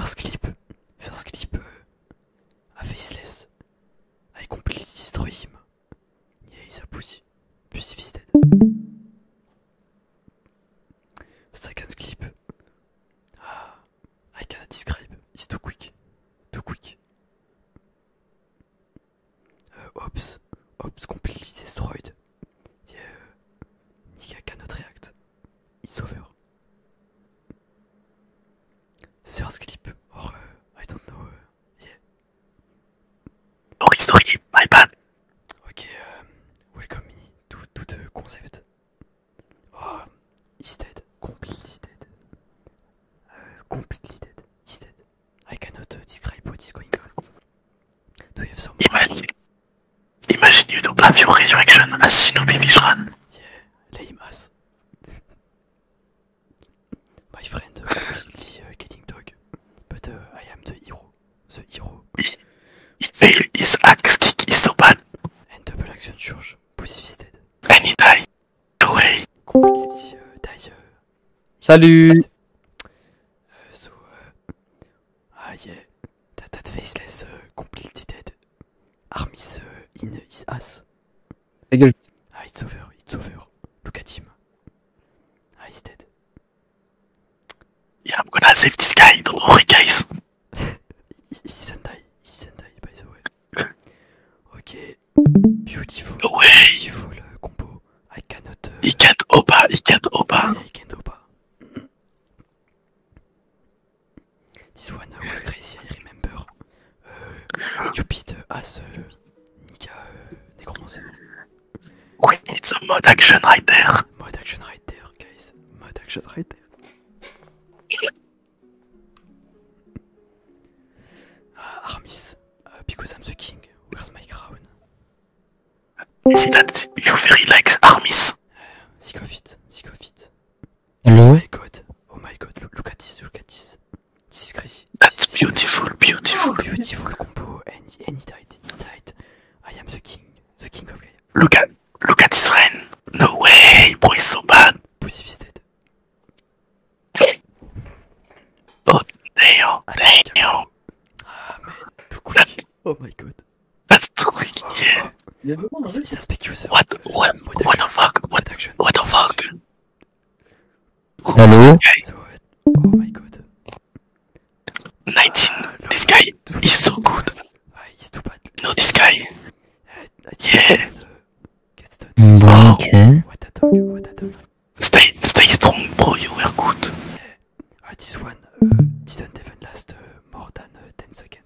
First clip, first clip Faceless. I completely destroy him. Yeah, he's a pussy. Pussy Second clip. Ah. I cannot describe. It's too quick. Too quick. Uh, Ops. Ops completely destroyed. Yeah. Nika cannot react. It's over. Source clip or uh, I don't know. Uh, yeah. Sorry, sorry, my bad. Okay, um, welcome me to, to the concept. Oh, he's dead, completely dead. Uh, completely dead, he's dead. I cannot uh, describe what is going on. Do you have some? Imagine, Imaginez don't Have Your Resurrection à Shinobi Vishran. Yeah, lame ass. My friend, uh, the uh, killing dog, but uh, I am the hero, the hero. He, axe kick And double action charge, pussy And died. Away. Completely uh, Salut. Ah yeah, that, that faceless uh, completely dead. Armis euh, in his ass. Ah it's over, it's over. Look at him. Ah he's dead. Yeah, I'm gonna save this guy, don't worry guys. He's he die, he's by the way. ok, beautiful, beautiful uh, combo. I cannot... Euh, he can't open, he can't open he can't This one was crazy, I remember. Uh, stupid as uh, Nika uh, Necromancer. it's a Mod action right Mod action right there, guys. Mod action right ah, Armis, uh, because I'm the king, where's my crown? C'est that you very likes Armis? Sick of Hello? Oh my god, oh my god, look, at this, look at this. That's beautiful, beautiful. Beautiful combo, and, he died, he died. I am the king, the king of Gaia. Look at, look No way, boy, so bad. oh, damn, damn. Ah, oh my god. That's too quick. Yeah. He's a spec What? What? the fuck? What? the fuck? Hello. oh my god. 19. Ah, this guy is so good. Ah, no, this guy. Ah, yeah. Gets done. Mm, okay. What a dog. Stay, stay strong, bro. You were good. Eh, Uh, this one uh, didn't even last uh, more than uh, 10 seconds.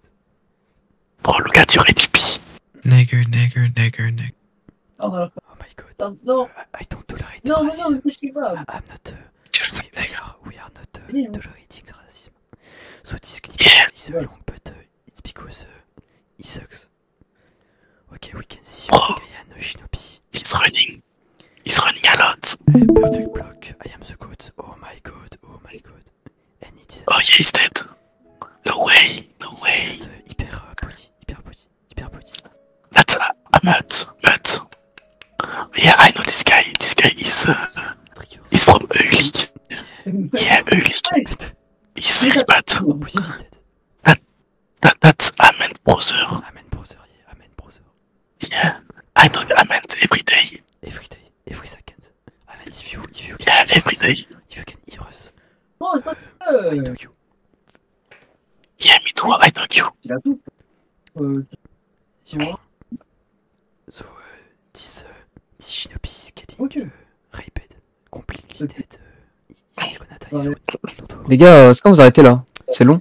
Bro, look at your HP. Nigger, nigger, nigger, nigger. Oh, my god. No, no. I, don't tolerate no, racism. No, I'm not. Uh, we, we, are, not uh, yeah. racism. So this clip is long, but uh, it's because uh, he sucks. Okay, we can see Bro. no Shinobi. It's running. He's running a lot. Oh my god. Oh my god. oh yeah, he's dead. No way. No way. That's a uh, hyper uh, uh Yeah, I know this guy. This guy is. Uh, he's from Eulig. Yeah, Eulig. He's very bad. Oh, that, that, that's a Brother. Amen Yeah, I know. I meant every day. Every day, every second. I meant if you, you can yeah, every us, day. If you can hear us. Oh, I you. Yeah, me too. I know you. Il euh, you tout. So uh, moi. So, uh, this shinobi is getting uh, raped, completely dead. Uh, he's gonna die soon. Les gars, euh, est-ce qu'on vous arrêtez là C'est long.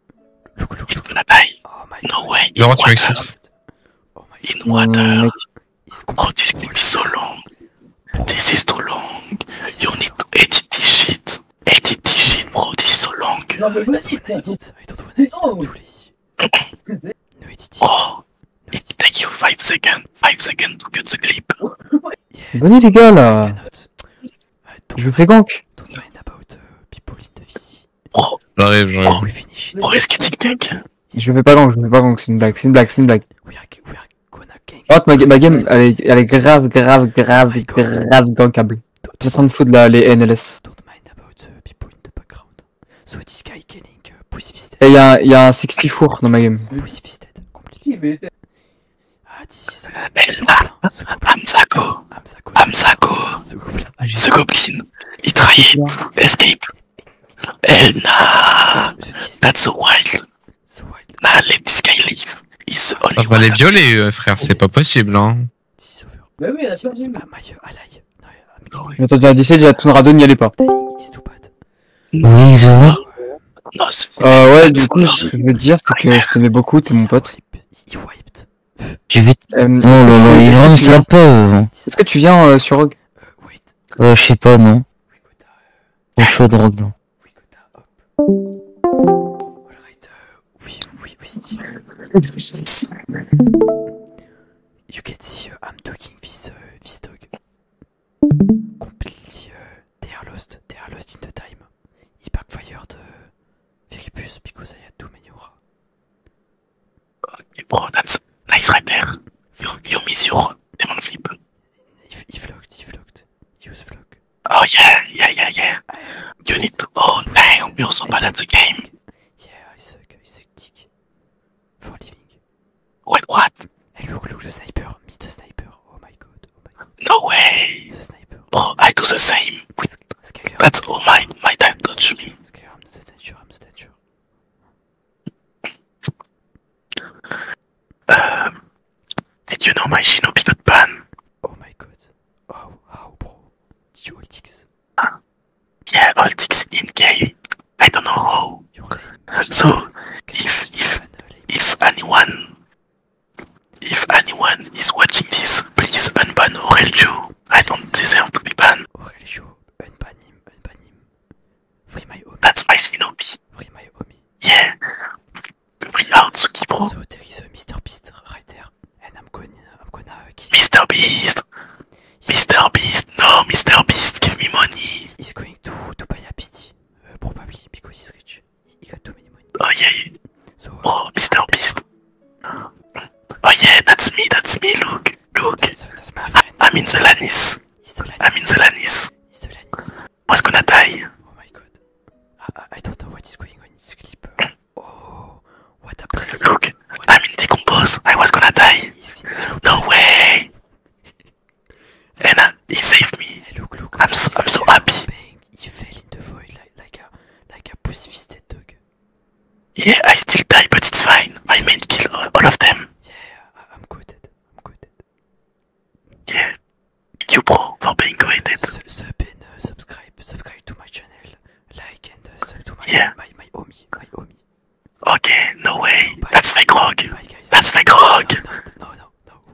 Il va It's gonna die. Oh no way. In water. Oh my In water. be mmh, oh, long. This is too long. You need to edit this shit. Edit shit, bro. This is long. Oh, it 5 seconds. 5 seconds to get the clip. les gars là euh, je vais Don't mind about euh, people the oh, Je vais pas je c'est une blague, ma, game, elle est, grave, grave, grave, oh grave gankable. en de foutre les NLS. Euh, il y a dans ma game. Ah, ça Amsako, ce Goblin, il trahit escape. Elna, That's so wild. Nah, let this guy leave. On va les violer, frère, c'est pas possible, hein. oui, Attends, dit, déjà, n'y allait pas. Oui, ah, ouais, du coup, ce que je veux dire, c'est que je t'aimais beaucoup, t'es mon pote il wiped. J'ai vu. Euh, non, non, ils ne savent pas. Hein. Est-ce que tu viens euh, sur Rogue euh, Wait. Euh, je sais pas, non. Euh, Au chaud de Rogue, non. Alright, oui, oui, oui, cest still. You can see uh, I'm talking with uh, this dog. Completely, uh, they are lost, they are lost in the time. He backfired Viribus, Picosayatu, Meniura. Ok, bro, that's nice right there. You, miss your demon flip. He, he flocked, he flocked. Use Oh, yeah, yeah, yeah, yeah. you need to. Oh, damn, we are so bad at the game. Yeah, I suck, I suck dick. For living. Wait, what? And look, look, the sniper, meet the sniper. Oh my god. No way! Bro, I do the same. that's all oh, my my dad touched me. I'm um, not sure. I'm not sure. did you know my Shinobi got banned? Oh my god. How, oh, how, bro? Did you Altix? Uh, ah, yeah, Altix in game. I don't know how. So, if, if, if anyone if anyone is watching this, please unban Aurelio. I don't deserve to be banned. Aurelio, unban him, unban him. Free my homie. That's my shinobi. Free my homie. Yeah. Free Aotsuki, bro. So there is a Mr. Beast right there. And I'm gonna, I'm gonna kill Mr. Beast! Mr. Beast! No, Mr. Beast, give me money! He's going to, to buy a pity, uh, probably because he's rich he got too many money. Oh yeah. So, oh, Mr. Beast. Uh, oh yeah, that's me. That's me. Look, look. That's, that's my friend. I, I'm in the Lannis. The Lannis. I'm in the Lannis. He's the Lannis. I was gonna die. Oh my god. I, I don't know what is going on in this clip. Oh, what happened? Look, what? I'm in decompose. I was gonna die. No way. and uh, he saved me. Hey, look, look, I'm so, I'm so happy he fell in the void like, a pussy-fisted dog. Yeah, I still die, but it's fine. I mean, kill all, of them. Yeah, I, I'm good. I'm good. Yeah, you bro for being good. Sub, sub and uh, subscribe, subscribe to my channel, like and uh, sub to my yeah. my my homie, my homie. Okay, no way. That's fake rock. That's fake rock. no, no. no.